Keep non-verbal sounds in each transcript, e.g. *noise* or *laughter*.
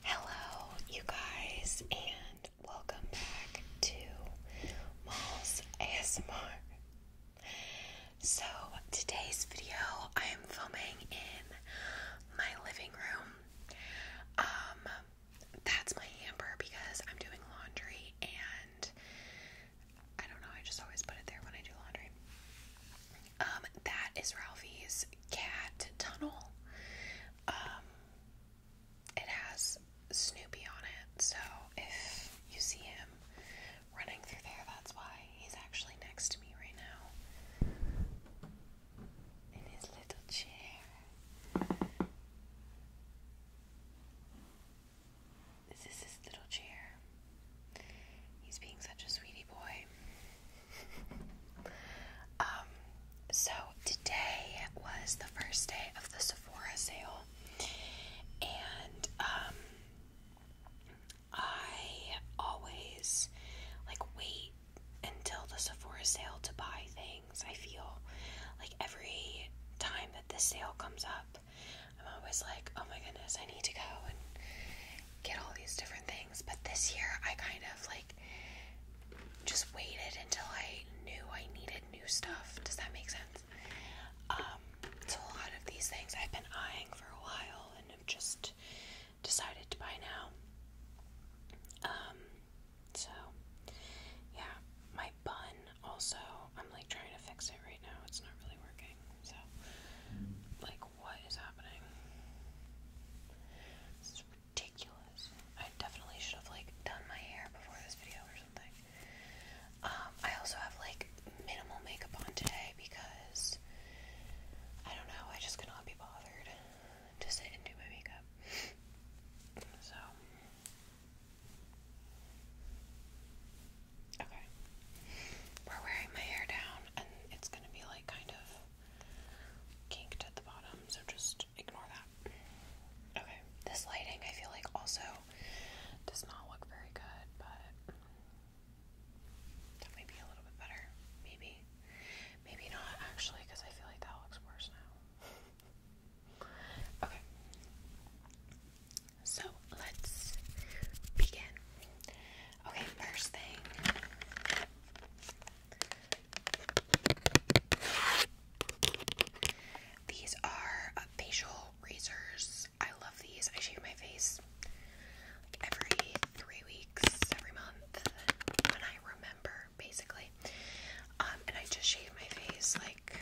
Hello, you guys, and welcome back to Malls ASMR. So, today's video I am filming in my living room. Um, that's my hamper because I'm doing laundry, and I don't know, I just always put it there when I do laundry. Um, that is Ralphie's cat tunnel. Um, it has Snoopy on it, so if you see him running through there, that's why he's actually next to me right now in his little chair. This is his little chair. He's being such a sweetie boy. *laughs* Um, so today was the first day of the Sephora sale, and um, I always like wait until the Sephora sale to buy things. I feel like every time that this sale comes up, I'm always like, oh my goodness, I need to go and get all these different things. But this year, I kind of like just waited until I knew I needed new stuff. Does that make sense? Um, so a lot of these things I've been eyeing for a while and have just decided to buy now. Um, so yeah, my bun also, I'm like trying to fix it right now. It's not really working. So like what is happening? This is ridiculous. I definitely should have like done my hair before this video or something. Um, I also have like minimal makeup on today because I don't know, I just cannot be bothered to sit and do my makeup. So Okay. We're wearing my hair down and it's gonna be like kind of kinked at the bottom, so just ignore that. Okay, this lighting I feel like also does not look very good, but that might be a little bit better. Maybe. Maybe not actually, because I feel like that looks worse now. *laughs* okay. So let's begin. Okay, first thing. These are uh, facial razors. I love these. I shave my face like every three weeks, every month, when I remember, basically. Um, and I just shaved my face like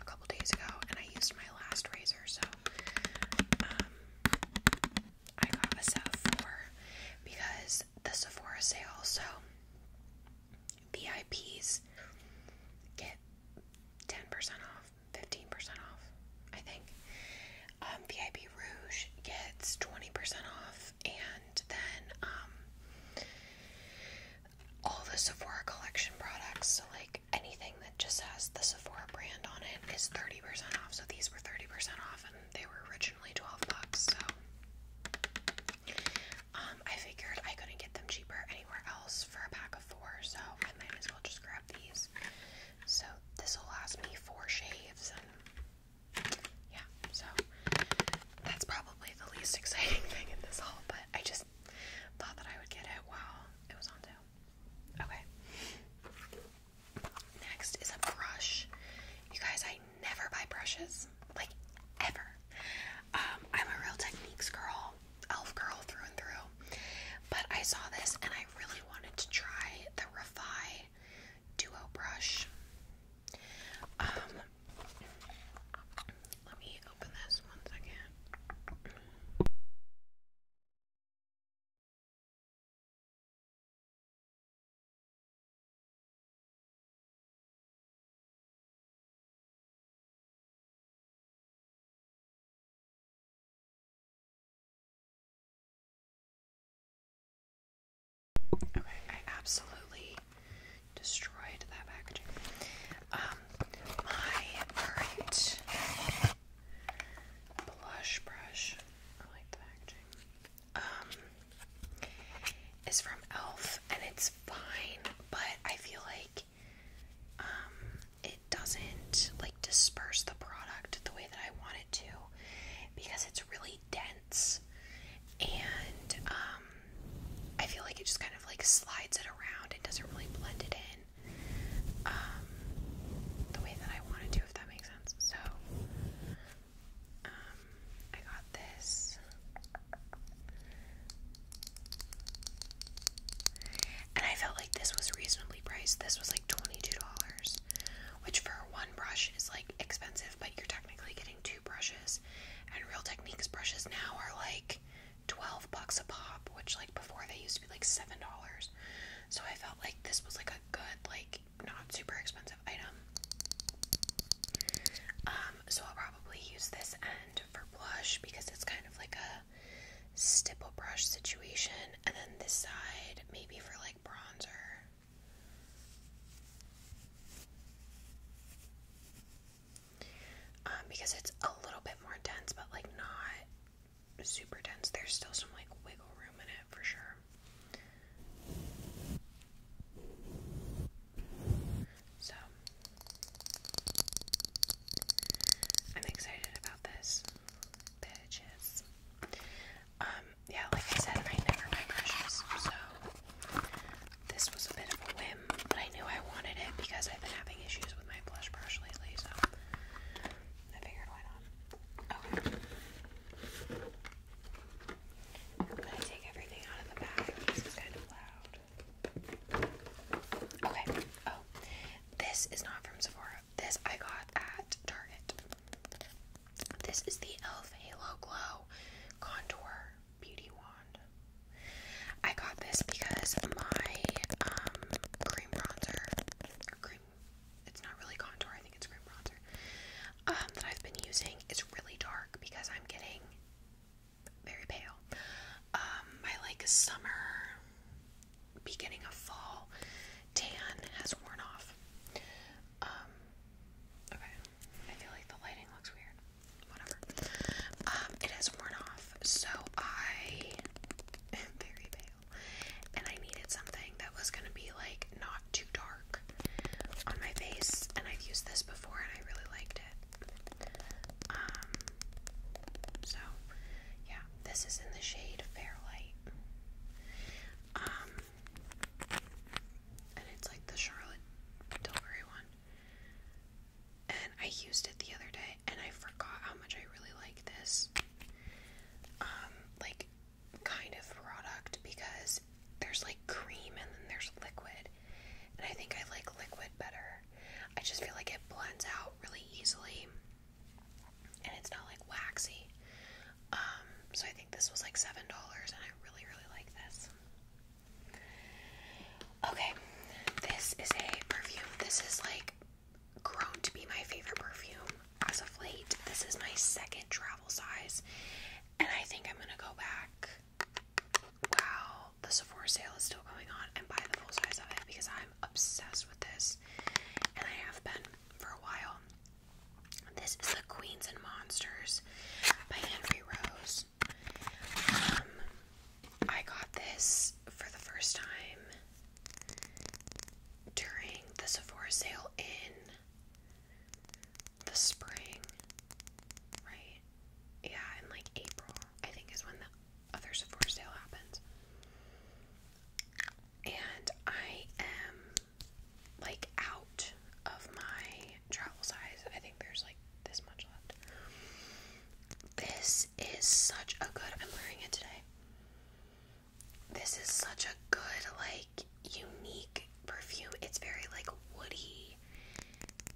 a couple days ago, and I used my last razor, so um, I got a set because the Sephora sale, so VIPs get 10% off, 15% off, I think. Um, VIP Rouge gets 20% off, and then um, all the Sephora collection products, so like anything it just has the Sephora brand on it is 30% off. So these were 30% off and they were originally 12 bucks. So um, I figured I couldn't get them cheaper anywhere else for a pack of four. So I might as well just grab these. So this will last me four shaves and yeah. So that's probably the least *laughs* exciting thing in this haul, but I just thought that I would get it while it was on sale. Okay. Next is a brush. You guys, I never buy brushes. Like, ever. Um, I'm a real techniques girl, elf girl through and through. But I saw this and I really wanted to try the Refi Duo brush. Um, let me open this one second. Okay, I absolutely destroyed that packaging. Um, my current blush brush. I like the packaging. Um, is from Elf, and it's fine, but I feel like um it doesn't like disperse the product the way that I want it to because it's really dense and um I feel like it just kind of like slides it around. and doesn't really blend it in um, the way that I wanted to, if that makes sense. So, um, I got this. And I felt like this was reasonably priced. This was like $22, which for one brush is like expensive, but you're technically getting two brushes. And Real Techniques brushes now are like 12 bucks a pop, which like before they used to be like seven dollars. So I felt like this was like a good, like not super expensive item. Um, so I'll probably use this end for blush because it's kind of like a stipple brush situation, and then this side maybe for like bronzer. Um, because it's a little bit more dense, but like not super dense. There's still some like wiggle room in it for sure. So I'm excited about this. Um, yeah, like I said, I never buy brushes, so this was a bit of a whim, but I knew I wanted it because I've been having issues with my blush brush lately, so I figured why not. Okay. I'm gonna take everything out of the bag. This is kind of loud. Okay. Oh, this is not from Sephora. This I got at Target. This is the e.l.f. Halo Glow Contour Beauty Wand. I got this because my um, bronzer or cream it's not really contour, I think it's cream bronzer. Um, that I've been using is really dark because I'm getting very pale. Um, my like summer, beginning of fall tan has worn off. Um, okay, I feel like the lighting looks weird. Whatever. it has worn off, so I am very pale and I needed something that was gonna be like not too dark on my face, and I've used this before and I really liked it. Um, so yeah, this is in the shade Fairlight. Um, and it's like the Charlotte Tilbury one. And I used it the other day and I forgot how much I really like this um like kind of product because there's like cream and then there's liquid. And I think I like liquid better. I just feel like it blends out really easily and it's not like waxy. Um, so I think this was like $7 and I really, really like this. Okay, this is a perfume. This is like grown to be my favorite perfume as of late. This is my second travel size, and I think I'm gonna go back. Wow, the Sephora sale is still going on, and buy the full size of it because I'm obsessed with this, and I have been for a while. This is the Queens and Monsters by Henry Rose. Um, I got this for the first time during the Sephora sale in the spring, right? Yeah, in like April, I think, is when the other Sephora sale happens. And I am like out of my travel size. I think there's like this much left. This is such a good, I'm wearing it today. This is such a good, like, unique perfume. It's very, like, woody,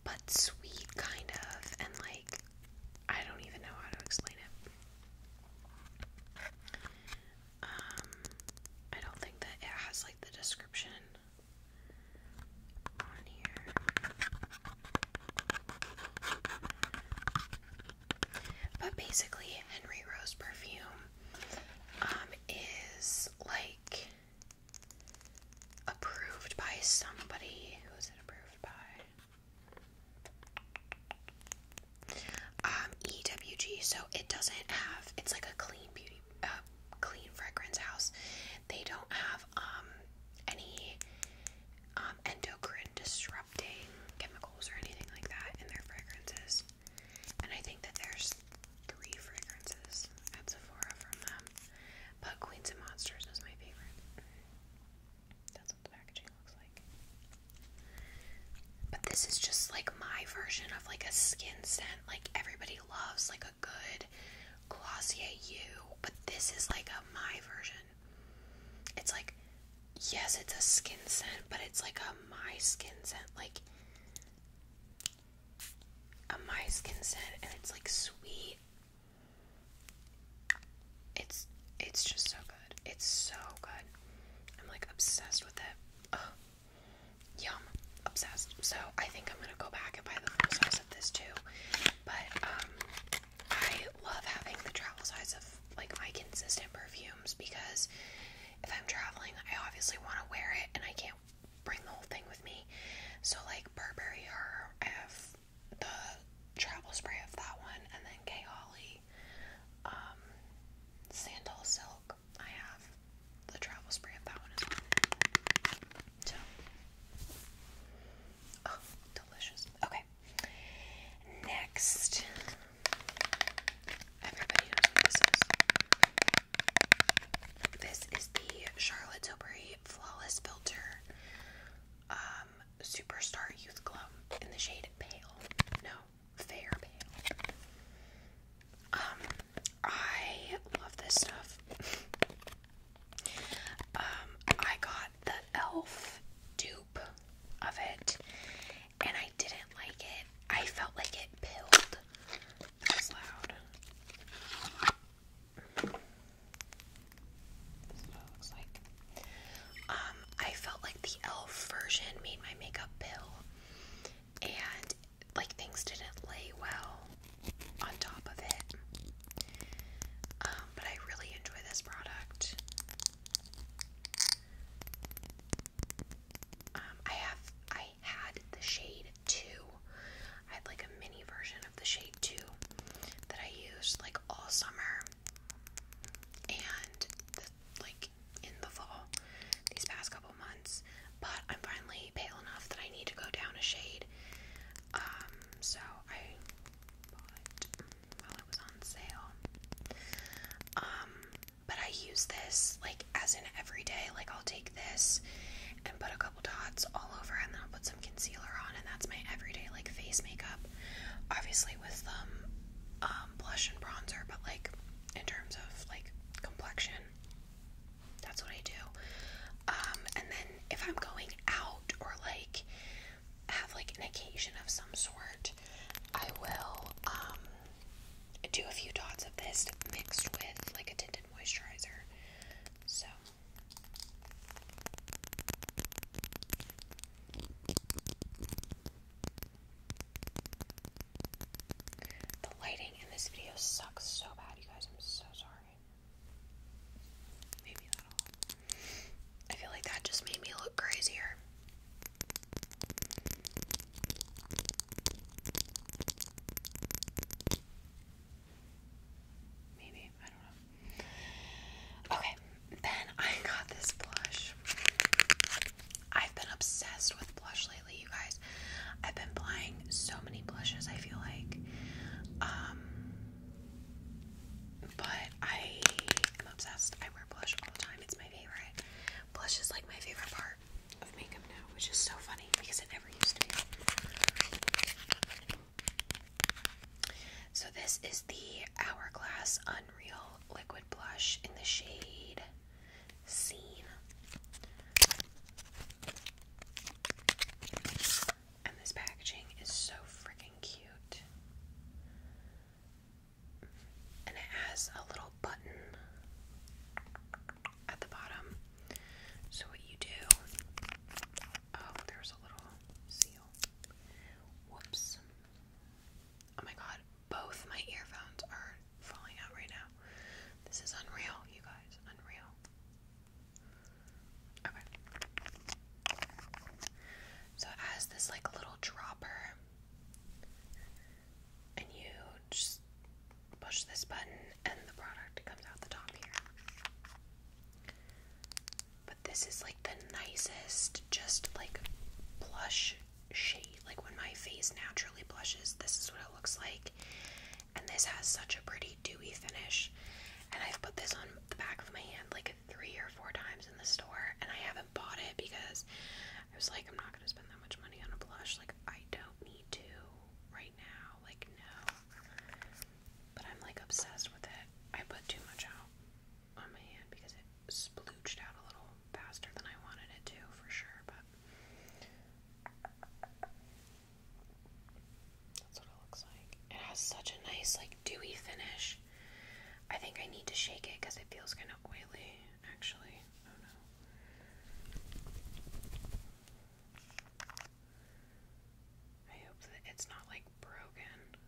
but sweet, kind of. And, like, I don't even know how to explain it. Um, I don't think that it has, like, the description on here. But basically, Henry Rose perfume um, is like approved by somebody. Who is it approved by? Um, EWG. So it doesn't have. It's like a clean beauty, uh, clean fragrance house. They don't have um, any um, endocrine disrupting chemicals or anything like that in their fragrances. And I think that there's three fragrances at Sephora from them. But Queens and Monsters is my favorite. That's what the packaging looks like. But this is just like my version of like a skin scent. Like everybody loves like a good Glossier You, but this is like a my version it's like, yes, it's a skin scent, but it's like a my skin scent, like a my skin scent, and it's like sweet. It's it's just so good. It's so good. I'm like obsessed with it. Yum. Obsessed. So I think I'm gonna go back and buy the full size of this too. But um I love having the travel size of like my consistent perfumes because if I'm traveling, I obviously want to wear it and I can't bring the whole thing with me. So, like Burberry, or I have the travel spray of that one, and then K. Holly, um, Sandal Silk. I have the travel spray of that one as well. Oh, delicious. Okay. Next, everybody This is the Charlotte Tilbury Flawless Filter um, Superstar Youth Glow in the shade Pale. No, Fair Pale. Um, I love this stuff. Um, I got the e.l.f. dupe of it, and I didn't like it. I felt like it pilled. That was loud. That's what it looks like. Um, I felt like the e.l.f. version made my makeup pill, and like things didn't lay well on top of it. Um, but I really enjoy this product. Um, I have I had the shade two. I had like a mini version of the shade two that I used like all summer and like in the fall these past couple months. But I'm finally pale enough that I need to go down a shade. Um, so I bought while it was on sale. Um, but I use this like as an everyday, like I'll take this and put a couple dots all over and then I'll put some concealer on and that's my everyday like face makeup. Obviously with some um, um blush and bronzer, but like in terms of like complexion, that's what I do. Um, and then if I'm going out or like have like an occasion of some sort, I will um, do a few dots of this mixed with like a tinted moisturizer. So the lighting in this video sucks so bad, you guys. I'm so sorry. I feel like that just made me look crazier. Maybe, I don't know. Okay, then I got this blush. I've been obsessed with blush lately, you guys. I've been buying so many blushes, I feel like. Um, but I am obsessed. I wear blush all the time. It's my favorite. Blush is like my favorite part of makeup now, which is so funny because it never used to be. So this is the Hourglass Unreal Liquid Blush in the shade Scene. And this packaging is so freaking cute. And it has a little button at the bottom. So, what you do, oh, there's a little seal. Whoops. Oh my god, both my earphones are falling out right now. This is unreal, you guys. Unreal. So it this like little dropper, and you just push this button, and the product comes out the top here. But this is like the nicest, just like blush shade. Like when my face naturally blushes, this is what it looks like. And this has such a pretty dewy finish. And I've put this on the back of my hand like three or four times in the store, and I haven't bought it because I was like, I'm not gonna spend that much money on a blush. Like, I don't need to right now. Like, no. But I'm like obsessed with it. I put too much out on my hand because it splooched out a little faster than I wanted it to, for sure. But it has such a nice, like, dewy finish. I think I need to shake it because it feels kind of oily, actually. Oh no. I hope that it's not like broken.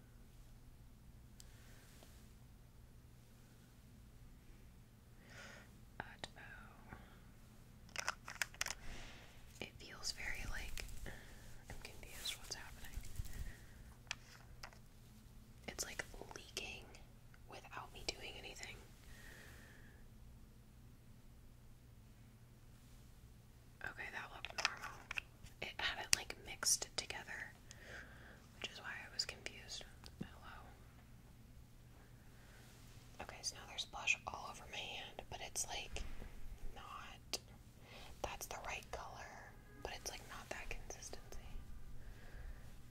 Uh oh. It feels very like I'm confused what's happening. It's like leaking without me doing anything. Okay, that looked normal. It hadn't like mixed together, which is why I was confused. Hello. Okay, so now there's blush all over my hand, but it's like not. That's the right color, but it's like not that consistency.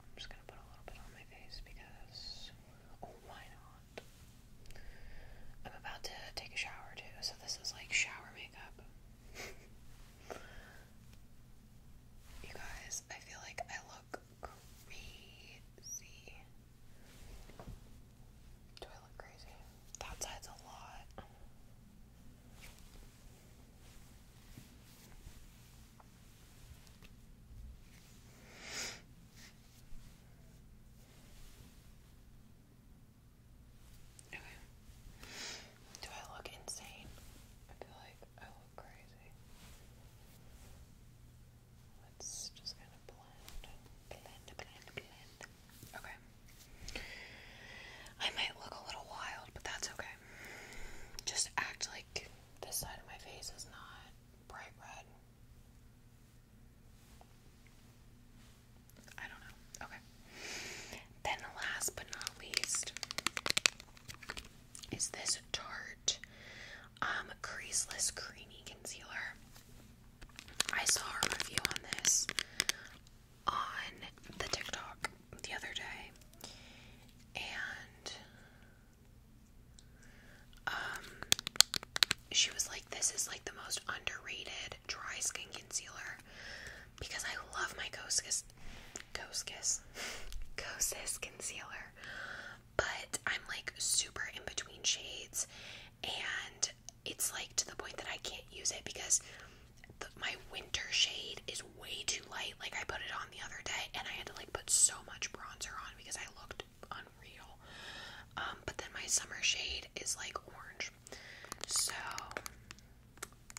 I'm just gonna put a little bit on my face because. Oh, why not? I'm about to take a shower too, so this is like shower makeup. *laughs* you guys, I feel like I look crazy. Do I look crazy? That side's a lot. Okay. Do I look insane? I feel like I look crazy. Let's just kind of blend, blend, blend, blend. Okay. I might look a little wild, but that's okay. Just act like this side of my face is not bright red. I don't know. Okay. Then, last but not least, is this Tarte um, Creaseless Creamy Concealer. I saw a review on this on the TikTok the other day, and um, she was like, "This is like the most underrated dry skin concealer because I love my Ghost Kiss, Ghost concealer, but I'm like super in between shades and it's like to the point that I can't use it because my winter shade is way too light. Like I put it on the other day and I had to like put so much bronzer on because I looked unreal. Um, but then my summer shade is like orange. So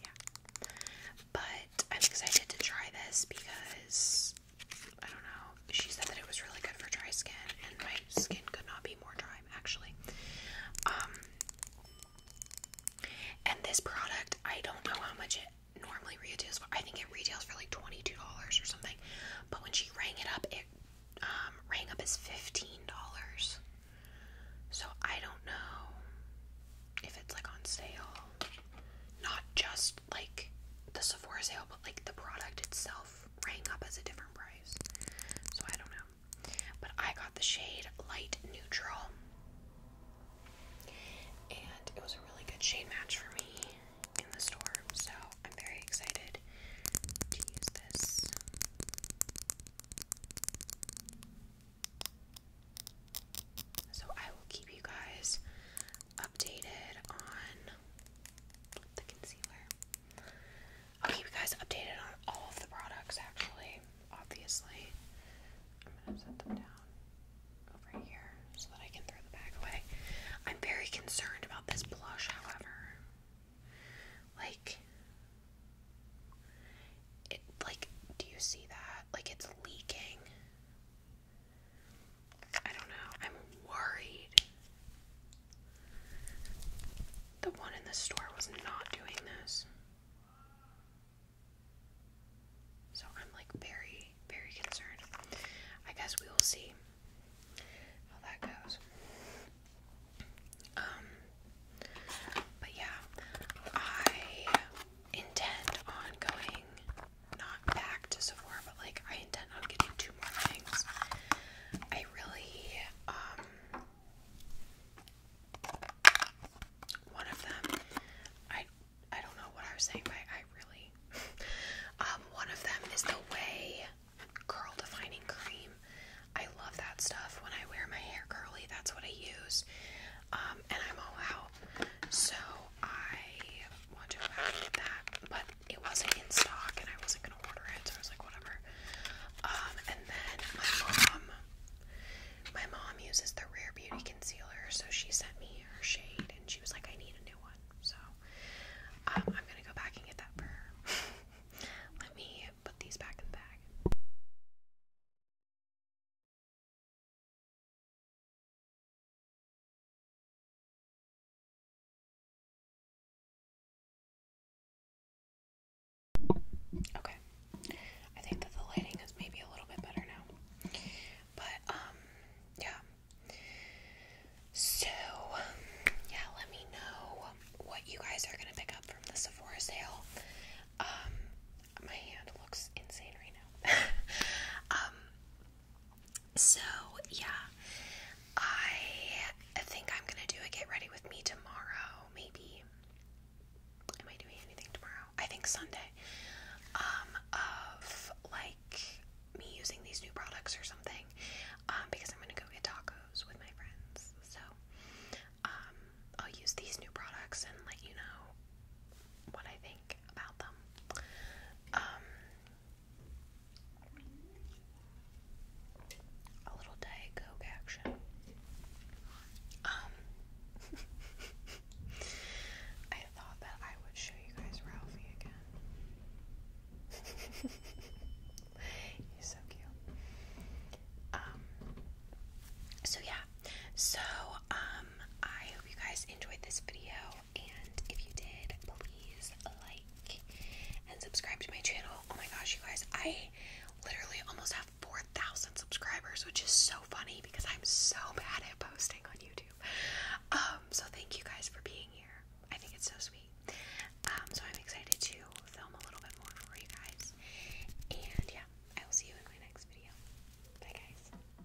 yeah. But I'm excited to try this because I don't know. She said that it was really good for dry skin, and my skin could not be more dry, actually. Um, and this product, I don't know how much it normally retails for. I think it retails for like $22 or something. But when she rang it up, it um, rang up as $15. So I don't know if it's like on sale not just like the Sephora sale, but like the product itself rang up as a different price. So I don't know. But I got the shade Light Neutral. And it was a really good shade match for me in the store. So I'm very excited to use this. So I will keep you guys updated on the concealer. I'll keep you guys updated on all of the products, actually, obviously. I'm gonna set them down over here so that I can throw the bag away. I'm very concerned about this blush, however. Like, it, like, do you see that? Like, it's leaking. I don't know. I'm worried. The one in the store was not doing this. So I'm like very, very concerned. I guess we will see how that goes. Um, but yeah, I intend on going not back to Sephora, but like I intend on getting two more things. I really, um, one of them, I, I don't know what I was saying, but I really, *laughs* um, one of them is the Way Curl Defining Cream. I love that stuff. When I wear my hair curly, that's what I use. Um, and I'm all out. So I want to go that, but it wasn't in stock and I wasn't gonna order it, so I was like, whatever. Um, and then my mom, my mom uses the Rare Beauty concealer, so she sent me her shade, and she was like, I need a new one, so um, I'm gonna go back and get that for her. *laughs* Let me put these back in the bag. Okay. I think that the lighting is maybe a little bit better now. But um yeah. So yeah, let me know what you guys are gonna pick up from the Sephora sale. Um my hand looks insane right now. *laughs* um so, yeah, I think I'm gonna do a get ready with me tomorrow, maybe. Am I doing anything tomorrow? I think Sunday. Um, of like me using these new products or something. Um, because I'm gonna go get tacos with my friends. So, um, I'll use these new products and let you know what I think about them. Um, a little Diet Coke action. Um, *laughs* I thought that I would show you guys Ralphie again. *laughs* He's so cute. Um, so yeah, so um, I hope you guys enjoyed this video and if you did, please like and subscribe to my channel. Oh my gosh, you guys, I literally almost have 4,000 subscribers, which is so funny because I'm so bad at posting on YouTube. Um, so thank you guys for being here. I think it's so sweet. Um, so I'm excited to film a little bit more for you guys. And yeah, I will see you in my next video. Bye guys.